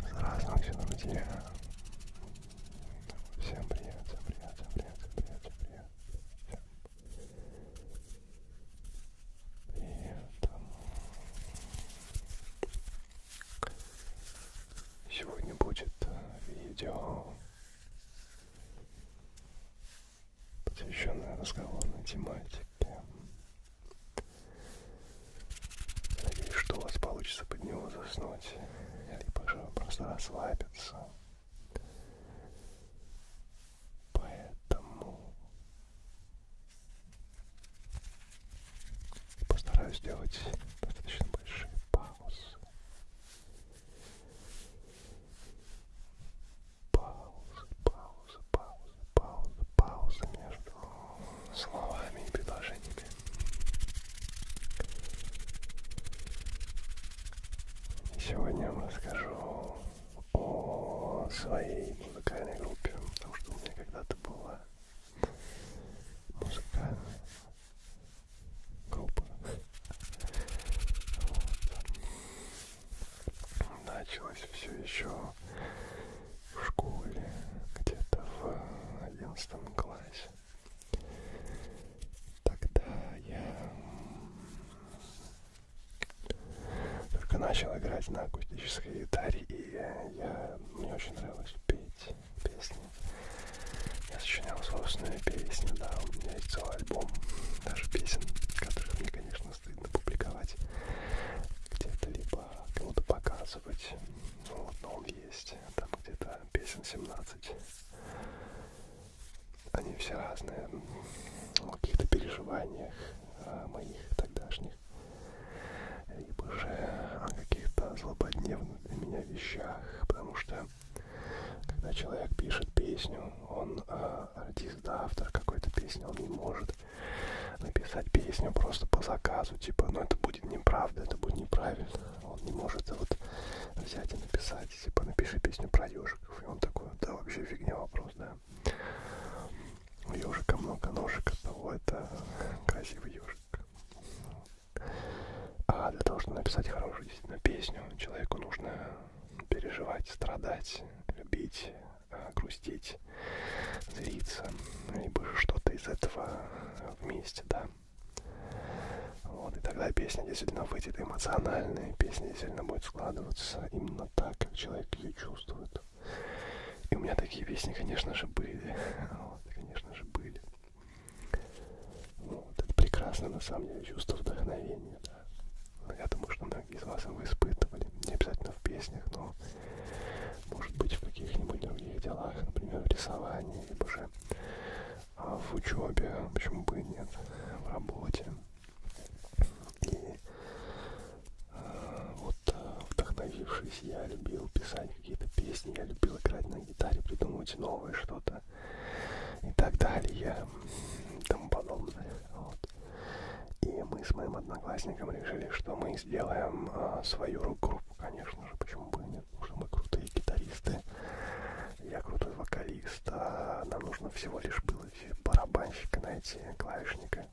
Здравствуйте, друзья. Всем привет, всем привет, всем привет, всем привет, всем привет. Всем привет. Сегодня будет видео посвященная разговорной тематике. Надеюсь, что у вас получится под него заснуть, либо же просто расслабиться. Поэтому постараюсь сделать достаточно большие паузы. Паузы, паузы, паузы, паузы, паузы между словами и предложениями. И сегодня я вам расскажу о своей музыкальной группе, потому что у меня когда-то была музыкальная группы. Вот. Началось все еще в школе, где-то в одиннадцатом классе. Тогда я только начал играть на акустической гитаре, и я, мне очень нравилось петь песни. Я сочинял собственные песни, да, у меня есть целый альбом, даже песен, которых мне, конечно, стыдно публиковать где-то, либо кому-то показывать. Ну, вот, но он есть, там где-то песен 17. Они все разные, о ну, каких-то переживаниях а, моих тогдашних, либо же о каких-то злободневных для меня вещах, потому что когда человек пишет песню, он э, артист, да, автор какой-то песни, он не может написать песню просто по заказу, типа, ну это будет неправда, это будет неправильно. Он не может вот взять и написать, типа, напиши песню про ежиков. И он такой, да, вообще фигня вопрос, да. У ежика много ножек, от того это красивый ежик. А для того, чтобы написать хорошую действительно песню, человеку нужно переживать, страдать, любить, а, грустить, злиться, либо же что-то из этого вместе, да. Вот, и тогда песня действительно выйдет эмоциональная, песня действительно будет складываться именно так, как человек ее чувствует. И у меня такие песни, конечно же, были. Вот, конечно же, были. Вот, это прекрасно, на самом деле, чувство вдохновения, да. Ну, я думаю, что многие из вас его испытывали, не обязательно в песнях, но, может быть, в каких-нибудь других делах, например, в рисовании, либо же а, в учебе, почему бы и нет, в работе. И э, вот а, вдохновившись, я любил писать какие-то песни, я любил играть на гитаре, придумывать новое что-то и так далее, и тому подобное. Вот. И мы с моим одноклассником решили, что мы сделаем а, свою рок-группу, конечно же, почему бы и нет, потому что мы крутые гитаристы, я крутой вокалист, а нам нужно всего лишь было барабанщика найти, клавишника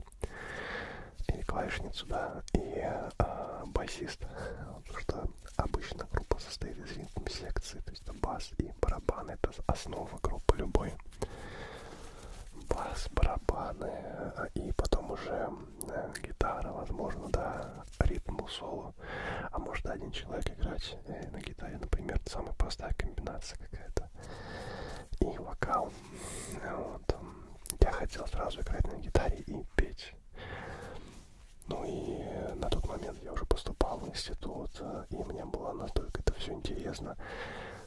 и клавишницу, да, и а, басиста, потому что Обычно группа состоит из ритм-секции, то есть это бас и барабаны, это основа группы любой. Бас, барабаны а, и потом уже э, гитара, возможно, да, ритм соло. А может один человек играть э, на гитаре, например, самая простая комбинация какая-то. И вокал. Вот. Я хотел сразу играть на гитаре и петь. Ну и э, на тот момент я уже поступал в институт, э, и мне было настолько это все интересно,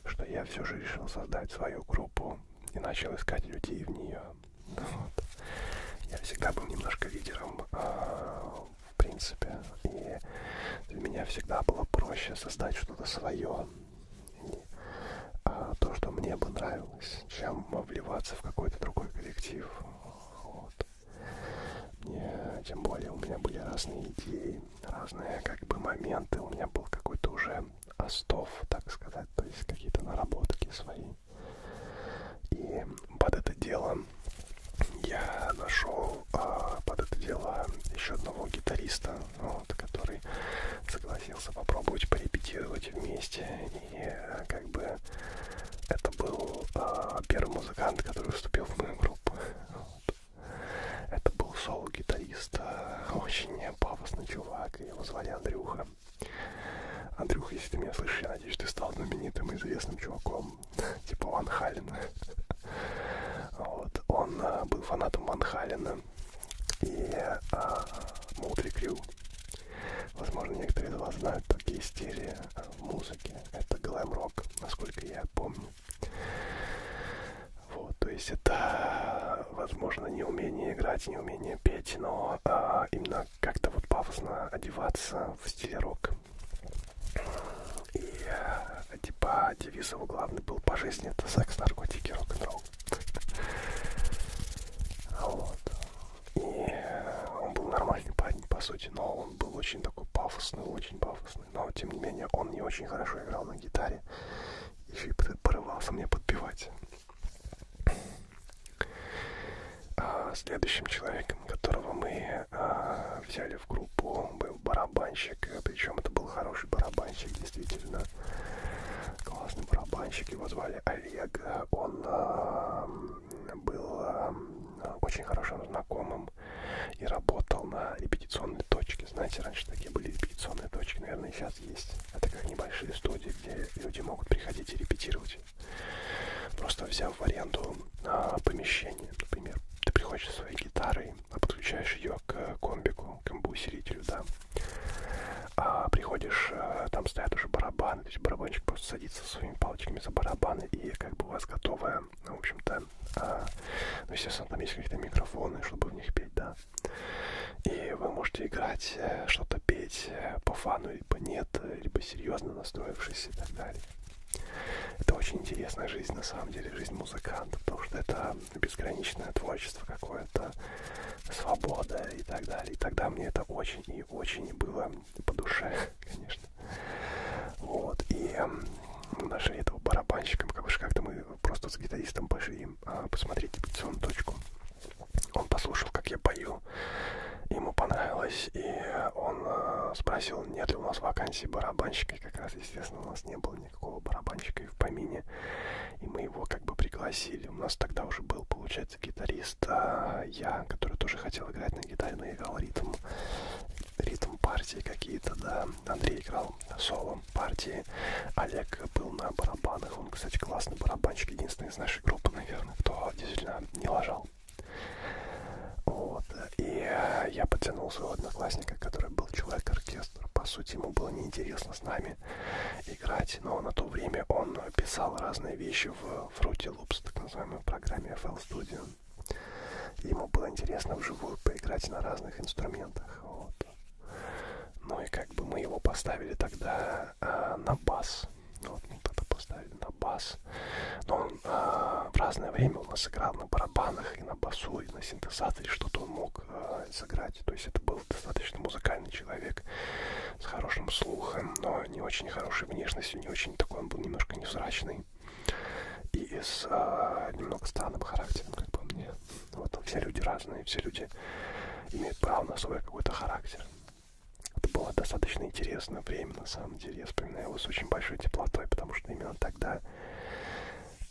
что я все же решил создать свою группу и начал искать людей в нее. Вот. Я всегда был немножко лидером, э, в принципе, и для меня всегда было проще создать что-то свое, и, а, то, что мне бы нравилось, чем вливаться в какой-то другой коллектив. Вот. Мне, э, тем более у меня были разные идеи, разные как бы моменты. У меня был какой-то уже остов, так сказать, то есть какие-то наработки свои. И под это дело я нашел а, под это дело еще одного гитариста, вот, который согласился попробовать порепетировать вместе. И и как бы это был э, первый музыкант, который вступил в мою группу. Вот. Это был соло-гитарист, а, очень пафосный чувак, его звали Андрюха. Андрюха, если ты меня слышишь, я надеюсь, ты стал знаменитым и известным чуваком, типа Ван Халена. Вот. Он э, был фанатом Ван Халена и э, Мутри Крю. Возможно, некоторые из вас знают, как истерия в музыке. Это глэм-рок, насколько я помню. Вот, то есть это, возможно, не умение играть, не умение петь, но а, именно как-то вот пафосно одеваться в стиле рок. И э, типа девиз его главный был по жизни это секс, наркотики, рок-н-ролл. Вот. И он был нормальный парень, по сути, но он был очень такой пафосный, очень пафосный. Но, тем не менее, он не очень хорошо играл на гитаре. Еще и порывался мне подпевать. А следующим человеком, которого мы а, взяли в группу, был барабанщик. Причем это был хороший барабанщик, действительно. Классный барабанщик. Его звали Олег. Он а, был э, очень хорошим знакомым и работал на репетиционной точке. Знаете, раньше такие были репетиционные точки, наверное, сейчас есть. А это как небольшие студии, где люди могут приходить и репетировать. Просто взяв в аренду а, помещение, например, ты приходишь со своей гитарой, а подключаешь ее к э, комбику, к амбусерителю, да, а, приходишь, а, там стоят уже барабаны, то есть барабанщик просто садится своими палочками за барабаны, и как бы у вас готовая, ну, в общем-то, а, ну, естественно, там есть какие-то микрофоны, чтобы в них петь, да. И вы можете играть, э, что-то петь э, по фану, либо нет, э, либо серьезно настроившись и так далее. Это очень интересная жизнь, на самом деле, жизнь музыканта, потому что это безграничное творчество какое-то, свобода и так далее. И тогда мне это очень и очень было по душе, конечно. Вот, и мы нашли этого барабанщика, как же как-то мы просто с гитаристом пошли а, посмотреть репетиционную точку. Он послушал, как я пою, ему понравилось, и он а, спросил, нет ли у нас вакансии барабанщика, и как раз, естественно, у нас не было никакого барабанщика и в помине, и мы его как бы пригласили. У нас тогда уже был, получается, получается, гитарист а я, который тоже хотел играть на гитаре, но играл ритм, ритм партии какие-то, да. Андрей играл соло партии, Олег был на барабанах, он, кстати, классный барабанщик, единственный из нашей группы, наверное, кто действительно не лажал. Вот. И я подтянул своего одноклассника, который был человек-оркестр. По сути, ему было неинтересно с нами ними играть. Но на то время он писал разные вещи в Fruity Loops, так называемой программе FL Studio. Ему было интересно вживую поиграть на разных инструментах. Вот. Ну и как бы мы его поставили тогда э, на бас. Вот мы тогда поставили на бас. Но он э, в разное время у нас играл на барабанах и на басу, и на синтезаторе, что-то он мог э, сыграть. То есть это был достаточно музыкальный человек с хорошим слухом, но не очень хорошей внешностью, не очень такой, он был немножко невзрачный. И с а, немного странным характером, как по мне. Вот все люди разные, все люди имеют право на свой какой-то характер. Это было достаточно интересное время, на самом деле. Я вспоминаю его с очень большой теплотой, потому что именно тогда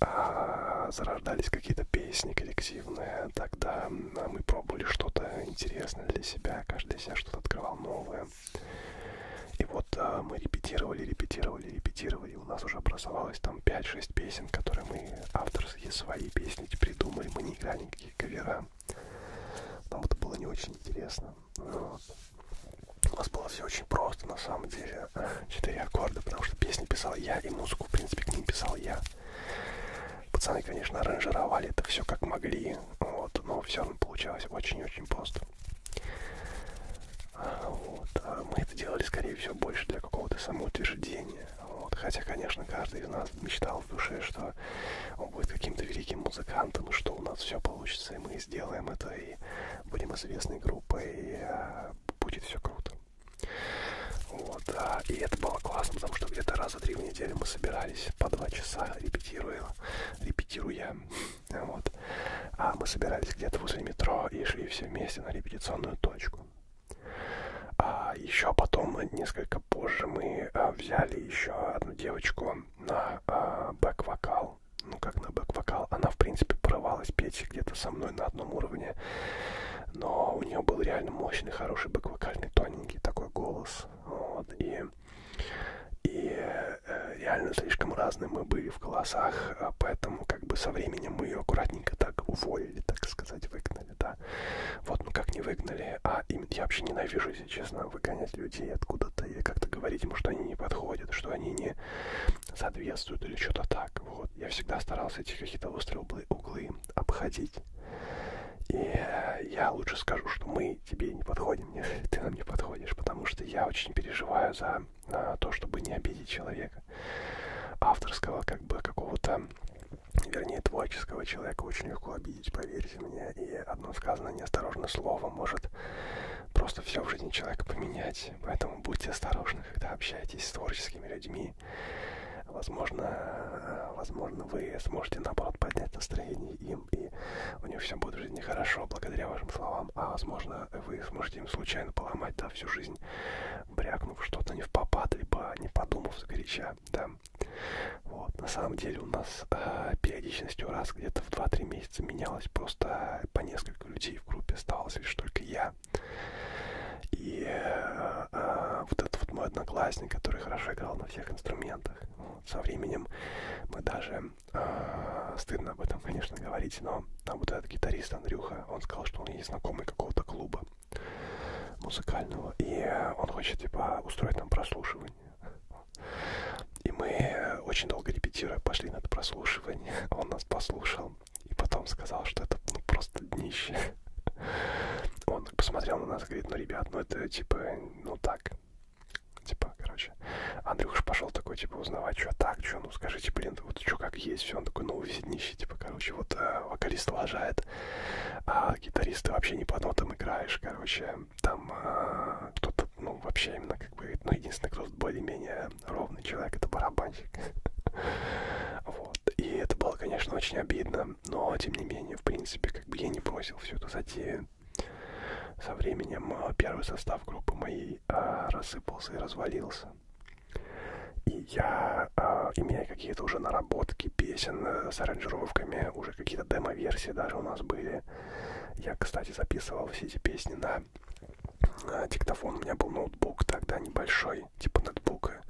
а, зарождались какие-то песни коллективные. Тогда а мы пробовали что-то интересное для себя, каждый для себя что-то открывал новое. И вот а, мы репетировали, репетировали, репетировали, у нас уже образовалось там 5-6 песен, которые мы авторские свои песни придумали, мы не играли никакие кавера. Нам это было не очень интересно. Но... Ну у нас было все очень просто, на самом деле. Четыре аккорда, потому что песни писал я, и музыку, в принципе, к ним писал я. Пацаны, конечно, аранжировали это все как могли, вот, но все равно получалось очень-очень просто. А, вот. А мы это делали, скорее всего, больше для какого-то самоутверждения. Вот. Хотя, конечно, каждый из нас мечтал в душе, что он будет каким-то великим музыкантом, и что у нас все получится, и мы сделаем это, и будем известной группой, и а, будет все круто. Вот, а, и это было классно, потому что где-то раза три в неделю мы собирались по два часа, репетируя, репетируя, вот. А мы собирались где-то возле метро и шли все вместе на репетиционную точку. А еще потом, несколько позже, мы а, взяли еще одну девочку на а, бэк-вокал. Ну, как на бэк-вокал. Она, в принципе, порывалась петь где-то со мной на одном уровне но у нее был реально мощный, хороший бэк-вокальный, тоненький такой голос. Вот, и и э, реально слишком разные мы были в голосах, а поэтому как бы со временем мы ее аккуратненько так уволили, так сказать, выгнали, да. Вот, ну как не выгнали, а им, я вообще ненавижу, если честно, выгонять людей откуда-то и как-то говорить ему, что они не подходят, что они не соответствуют или что-то так, вот. Я всегда старался эти какие-то острые углы, углы обходить, и э, я лучше скажу, что мы тебе не подходим, нежели ты нам не подходишь, потому что я очень переживаю за э, то, чтобы не обидеть человека авторского, как бы какого-то, вернее, творческого человека очень легко обидеть, поверьте мне. И одно сказанное неосторожно слово может просто все в жизни человека поменять. Поэтому будьте осторожны, когда общаетесь с творческими людьми и, возможно, возможно, вы сможете, наоборот, поднять настроение им, и у них все будет в жизни хорошо, благодаря вашим словам, а, возможно, вы сможете им случайно поломать, да, всю жизнь, брякнув что-то не в попад, либо не подумав сгоряча, да. Вот, на самом деле у нас э, периодичностью раз где-то в 2-3 месяца менялось просто по несколько людей в группе, оставалось лишь только я, и э, э, вот этот вот мой одноклассник, который хорошо играл на всех инструментах, вот, со временем мы даже, э, стыдно об этом, конечно, говорить, но там вот этот гитарист Андрюха, он сказал, что он есть знакомый какого-то клуба музыкального, и он хочет, типа, устроить нам прослушивание. И мы, очень долго репетируя, пошли на это прослушивание, он нас послушал, и потом сказал, что это ну, просто днище. Он посмотрел на нас и говорит, ну, ребят, ну это типа, ну так. Типа, короче. Андрюш пошел такой, типа, узнавать, что так, что, ну скажите, блин, вот что как есть, все. Он такой, ну, весь днище, типа, короче, вот э, вокалист лажает, а гитаристы вообще не по нотам играешь, короче. Там э, кто-то, ну, вообще именно, как бы, ну, единственный, кто более-менее ровный человек, это барабанщик. Вот. И это было, конечно, очень обидно, но, тем не менее, в принципе, как бы я не бросил всю эту затею. Со временем а, первый состав группы моей а, рассыпался и развалился. И я, а, имея какие-то уже наработки песен э, с аранжировками, уже какие-то демо-версии даже у нас были. Я, кстати, записывал все эти песни на а, диктофон. У меня был ноутбук тогда небольшой. Wi-Fi, типа нетбука.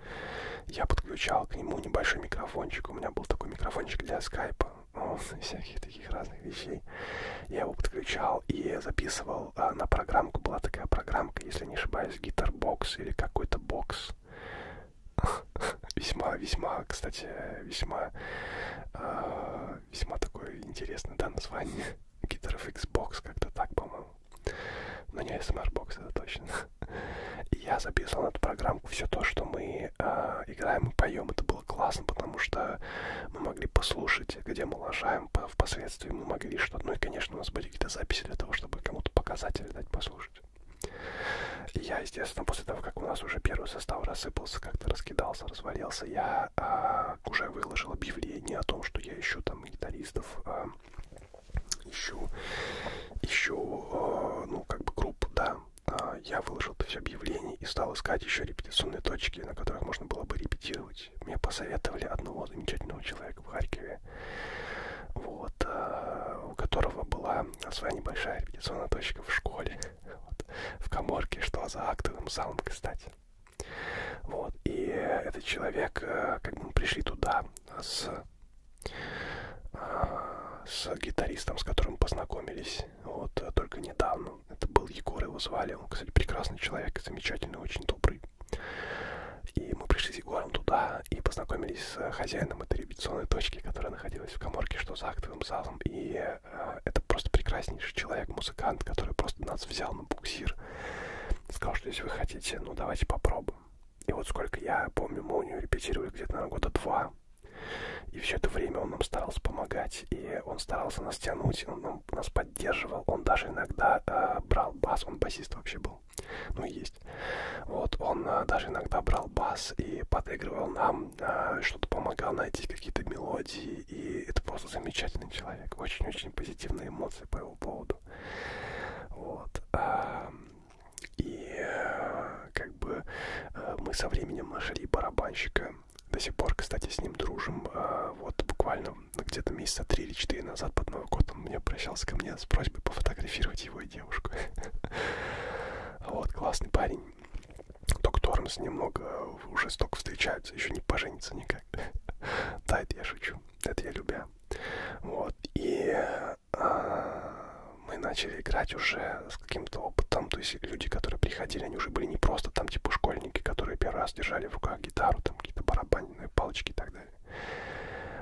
Я подключал к нему небольшой микрофончик. У меня был такой микрофончик для скайпа. Ну, всяких таких разных вещей. Я его подключал и записывал а, на программку. Была такая программка, если не ошибаюсь, гитарбокс или какой-то бокс. Весьма, весьма, кстати, весьма, а, весьма такое интересное, да, название гитаров Xbox, как-то так, по-моему. Но не ASMR-бокс, это точно. И я записывал на эту программку все то, что мы э, играем и поем. Это было классно, потому что мы могли послушать, где мы лажаем. Впоследствии мы могли что-то... Ну и, конечно, у нас были какие-то записи для того, чтобы кому-то показать или дать послушать. И я, естественно, после того, как у нас уже первый состав рассыпался, как-то раскидался, развалился, я э, уже выложил объявление о том, что я ищу там гитаристов э, ищу, ищу, э, ну, как бы группу, да. А, я выложил то все объявление и стал искать еще репетиционные точки, на которых можно было бы репетировать. Мне посоветовали одного замечательного человека в Харькове, вот, э, у которого была своя небольшая репетиционная точка в школе, вот, в коморке, что за актовым залом, кстати. Вот, и этот человек, э, как бы мы пришли туда, с, а, с гитаристом, с которым познакомились вот э, только недавно. Это был Егор, его звали. Он, кстати, прекрасный человек, замечательный, очень добрый. И мы пришли с Егором туда и познакомились с э, хозяином этой репетиционной точки, которая находилась в коморке, что за актовым залом. И э, это просто прекраснейший человек, музыкант, который просто нас взял на буксир Сказал, что если вы хотите, ну давайте попробуем. И вот сколько я помню, мы у нее репетировали где-то, наверное, года два. И все это время он нам старался помогать, и он старался нас тянуть, он нам, нас поддерживал, он даже иногда э, брал бас, он басист вообще был, ну есть. Вот, он э, даже иногда брал бас и подыгрывал нам, э, что-то помогал найти какие-то мелодии, и это просто замечательный человек, очень-очень позитивные эмоции по его поводу. Вот. И э, как бы э, мы со временем нашли барабанщика. До сих пор, кстати, с ним дружим. Э, вот буквально где-то месяца три или четыре назад под Новый год он мне обращался ко мне с просьбой пофотографировать его и девушку. Вот, классный парень. Только Тормс немного уже столько встречаются, еще не поженится никак. Да, это я шучу. Это я любя. Вот. И а, мы начали играть уже с каким-то опытом. То есть люди, которые приходили, они уже были не просто там типа школьники, которые первый раз держали в руках гитару, там какие-то барабанные палочки и так далее.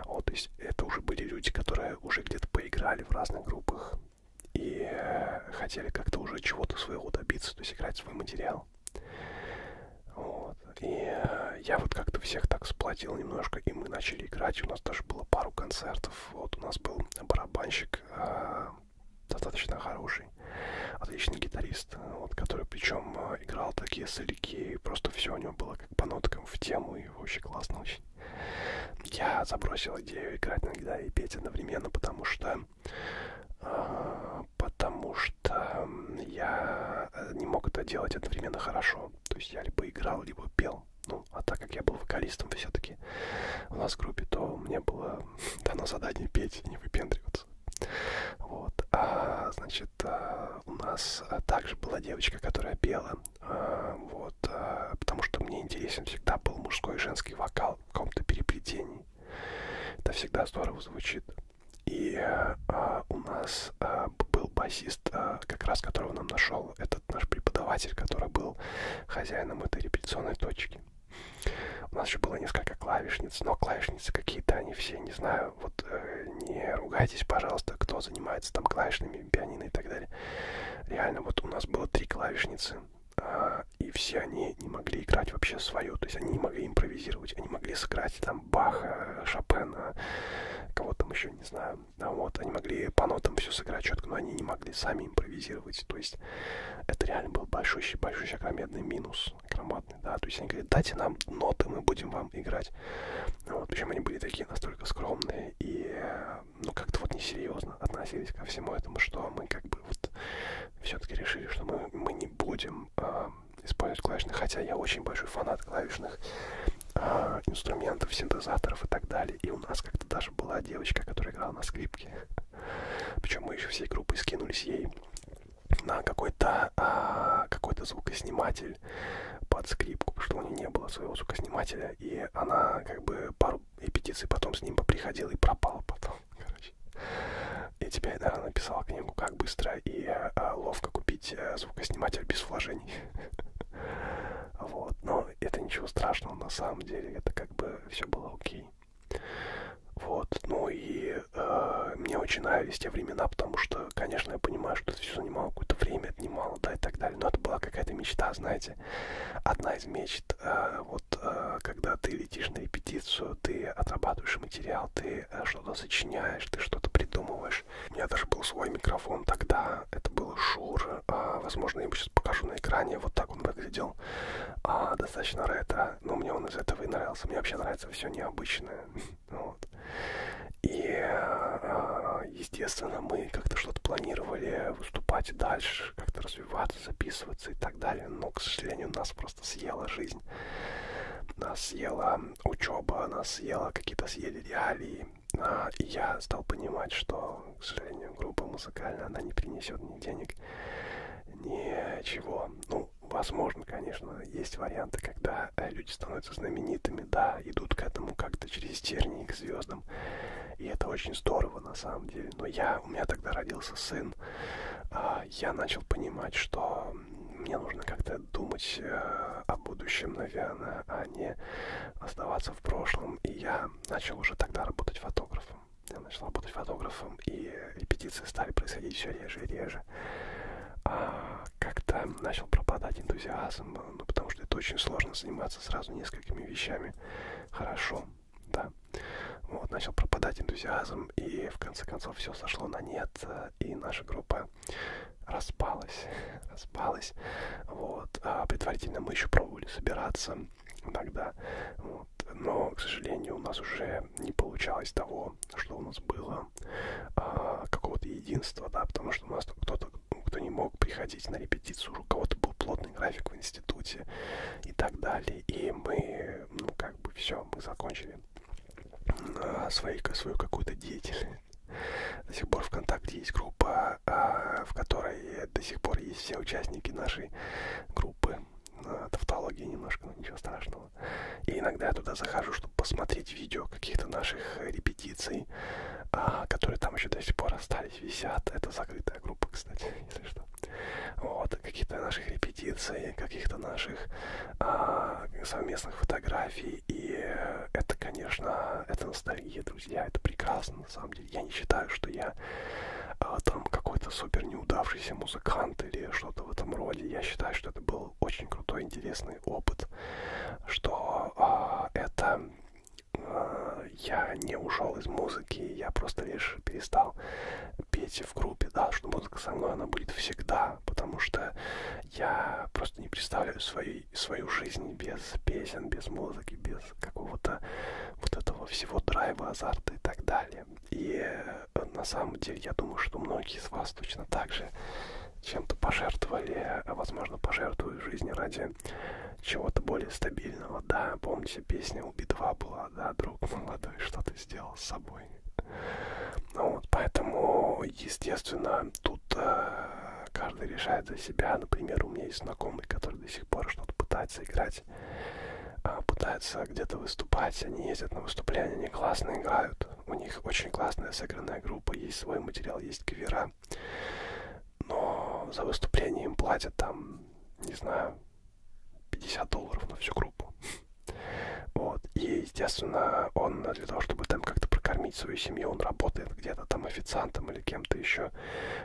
Вот, то есть это уже были люди, которые уже где-то поиграли в разных группах и э, хотели как-то уже чего-то своего добиться, то есть играть свой материал сказал. Вот. И э, я вот как-то всех так сплотил немножко, и мы начали играть. У нас даже было пару концертов. Вот у нас был барабанщик э, достаточно хороший, отличный гитарист, вот, который причем э, играл такие соляки, просто все у него было как по ноткам в тему, и вообще классно очень. Я забросил идею играть на гитаре и петь одновременно, потому что э, потому что я э, не мог это делать одновременно хорошо. То есть я либо играл, либо пел. Ну, а так как я был вокалистом все-таки у нас в группе, то мне было дано задание петь и не выпендриваться. Вот. А, значит, э, у нас э, также была девочка, которая пела. А, вот. Потому что мне интересен всегда был мужской и женский вокал в каком-то переплетении. Это всегда здорово звучит. И а, у нас а, был басист, а, как раз которого нам нашел этот наш преподаватель, который был хозяином этой репетиционной точки. У нас еще было несколько клавишниц, но клавишницы какие-то, они все, не знаю, вот э, не ругайтесь, пожалуйста, кто занимается там клавишными, пианино и так далее. Реально, вот у нас было три клавишницы, э, и все они не могли играть вообще свою, то есть они не могли импровизировать, они могли сыграть там там Баха, Шопена, кого там еще, не знаю. А вот, они могли по нотам все сыграть четко, но они не могли сами импровизировать. То есть это реально был большущий, большущий огромный минус, громадный, да. То есть они говорят, дайте нам ноты, мы будем вам играть. Вот, причем они были такие настолько скромные и, ну, как-то вот несерьезно относились ко всему этому, что мы как бы вот все-таки решили, что мы, мы не будем а, использовать клавишных, хотя я очень большой фанат клавишных э, инструментов, синтезаторов и так далее. И у нас как-то даже была девочка, которая играла на скрипке. Причем мы еще всей группой скинулись ей на какой-то э, какой-то звукосниматель под скрипку, потому что у нее не было своего звукоснимателя, и она как бы пару репетиций потом с ним поприходила и пропала потом короче. И тебе да, написал книгу «Как быстро и а, ловко купить а, звукосниматель без вложений». Вот, но это ничего страшного, на самом деле, это как бы все было окей. Вот, ну и э, мне очень нравились те времена, потому что, конечно, я понимаю, что это все занимало какое-то время, отнимало, да, и так далее, но это была какая-то мечта, знаете, одна из мечт, э, вот, э, когда ты летишь на репетицию, ты отрабатываешь материал, ты а ты что-то сочиняешь, ты что-то придумываешь. У меня даже был свой микрофон тогда, это был Шур, а, возможно, я ему сейчас покажу на экране, вот так он выглядел. А, достаточно ретро, но мне он из этого и нравился, мне вообще нравится все необычное. Вот. И, а, естественно, мы как-то что-то планировали выступать дальше, как-то развиваться, записываться и так далее, но, к сожалению, нас просто просто съела жизнь. Нас съела учеба, нас съела какие-то съели реалии. А, и я стал понимать, что, к сожалению, группа музыкальная, она не принесет ни денег, ничего. Ну, возможно, конечно, есть варианты, когда люди становятся знаменитыми, да, идут к этому как-то через тернии к звездам. И это очень здорово на самом деле. Но я когда у меня тогда родился сын, а, я начал понимать, что мне нужно как-то думать э, о будущем, наверное, а не оставаться в прошлом. И я начал уже тогда работать фотографом. Я начал работать фотографом, и репетиции стали происходить все реже и реже. А как-то начал пропадать энтузиазм, ну, потому что это очень сложно заниматься сразу несколькими вещами хорошо да. Вот, начал пропадать энтузиазм, и в конце концов все сошло на нет, э, и наша группа распалась, распалась, вот. А, предварительно мы еще пробовали собираться иногда, вот. Но, к сожалению, у нас уже не получалось того, что у нас было, а, какого-то единства, да, потому что у нас кто-то, кто не мог приходить на репетицию, у кого-то был плотный график в институте и так далее и мы, ну как бы все, мы закончили а, свои, свою какую-то деятельность. До сих пор ВКонтакте есть группа, а, в которой до сих пор есть все участники нашей группы. А, Тавтология немножко, но ничего страшного. И иногда я туда захожу, чтобы посмотреть видео каких-то наших репетиций, которые там еще до сих пор остались, висят. Это закрытая группа, кстати, если что вот, каких-то наших репетиций, каких-то наших а, совместных фотографий. И это, конечно, это ностальгия, друзья, это прекрасно, на самом деле. Я не считаю, что я а, там какой-то супер неудавшийся музыкант или что-то в этом роде. Я считаю, что это был очень крутой, интересный опыт, что а, это а, я не ушел из музыки, я просто лишь перестал петь в группе, да, что музыка со мной, она будет всегда, потому что я просто не представляю свою, свою жизнь без песен, без музыки, без какого-то вот этого всего драйва, азарта и так далее. И э, на самом деле я думаю, что многие из вас точно так же чем-то пожертвовали, а, возможно, пожертвую жизни ради чего-то более стабильного. Да, помните, песня у Би-2 была да, да, друг молодой, что ты сделал с собой. Ну, вот, поэтому, естественно, тут э, каждый решает за себя. Например, у меня есть знакомый, который до сих пор что-то пытается играть, э, пытается где-то выступать. Они ездят на выступления, они классно играют. У них очень классная сыгранная группа, есть свой материал, есть кавера. Но за выступление им платят там, не знаю, 50 долларов на всю группу. Вот. И, естественно, он для того, чтобы там как-то прокормить свою семью, он работает где-то там официантом или кем-то еще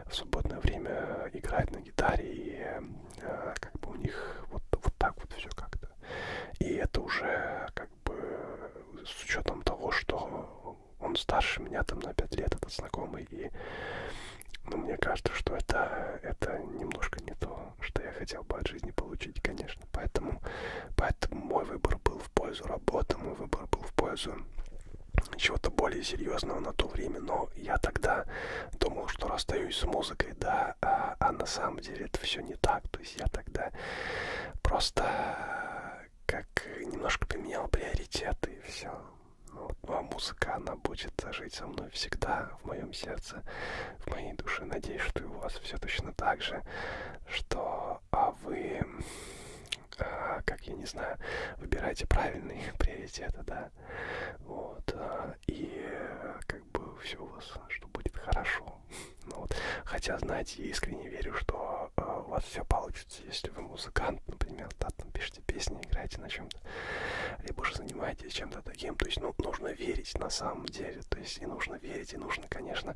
в свободное время играет на гитаре, и э, как бы у них вот, вот так вот все как-то. И это уже как бы с учетом того, что он старше меня там на 5 лет, этот знакомый, и но мне кажется, что это, это немножко не то, что я хотел бы от жизни получить, конечно. Поэтому, поэтому мой выбор был в пользу работы, мой выбор был в пользу чего-то более серьезного на то время, но я тогда думал, что расстаюсь с музыкой, да, а, а на самом деле это все не так. То есть я тогда просто как немножко поменял приоритеты и все. Вот. Ну а музыка, она будет жить со мной всегда, в моем сердце, в моей душе. Надеюсь, что и у вас все точно так же, что а вы, а, как я не знаю, выбираете правильные приоритеты, да. Вот. А, и как бы все у вас, что будет хорошо. Ну, вот. Хотя, знаете, я искренне верю, что э, у вас все получится, если вы музыкант, например, да, там пишите слушайте песни, играйте на чем-то, либо же занимаетесь чем-то таким. То есть, ну, нужно верить на самом деле. То есть, и нужно верить, и нужно, конечно,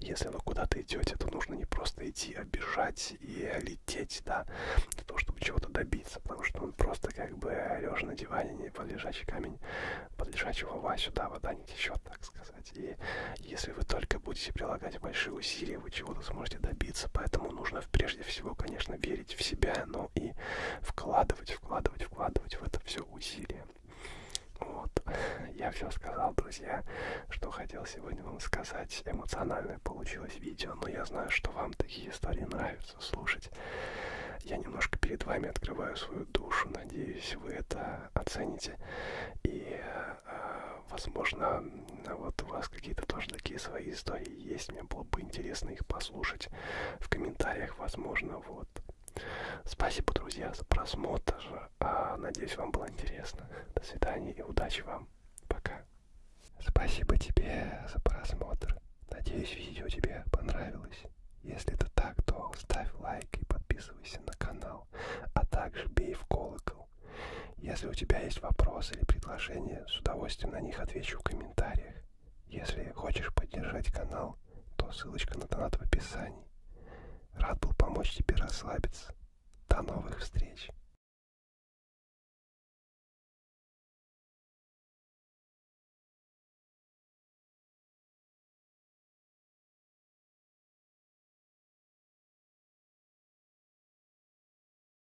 если вы куда-то идете, то нужно не просто идти, а бежать и лететь, да, для того, чтобы чего-то добиться. Потому что он ну, просто как бы лежа на диване, не под лежачий камень, под лежачего лва сюда вода не течет, так сказать. И если вы только будете прилагать большие усилия, вы чего-то сможете добиться. Поэтому нужно прежде всего, конечно, верить в себя, но канал и вкладывать, вкладывать, вкладывать в это все усилия. Вот, я все сказал, друзья, что хотел сегодня вам сказать. Эмоциональное получилось видео, но я знаю, что вам такие истории нравятся слушать. Я немножко перед вами открываю свою душу, надеюсь, вы это оцените. И, э, возможно, а вот у вас какие-то тоже такие свои истории есть. Мне было бы интересно их послушать в комментариях, возможно, вот. Спасибо, друзья, за просмотр. А, надеюсь, вам было интересно. До свидания и удачи вам. Пока. Спасибо тебе за просмотр. Надеюсь, видео тебе понравилось. Если это так, то ставь лайк и подписывайся на канал, а также бей в колокол. Если у тебя есть вопросы или предложения, с удовольствием на них отвечу в комментариях. Если хочешь поддержать канал, то ссылочка на донат в описании. Рад был помочь тебе расслабиться. До новых встреч!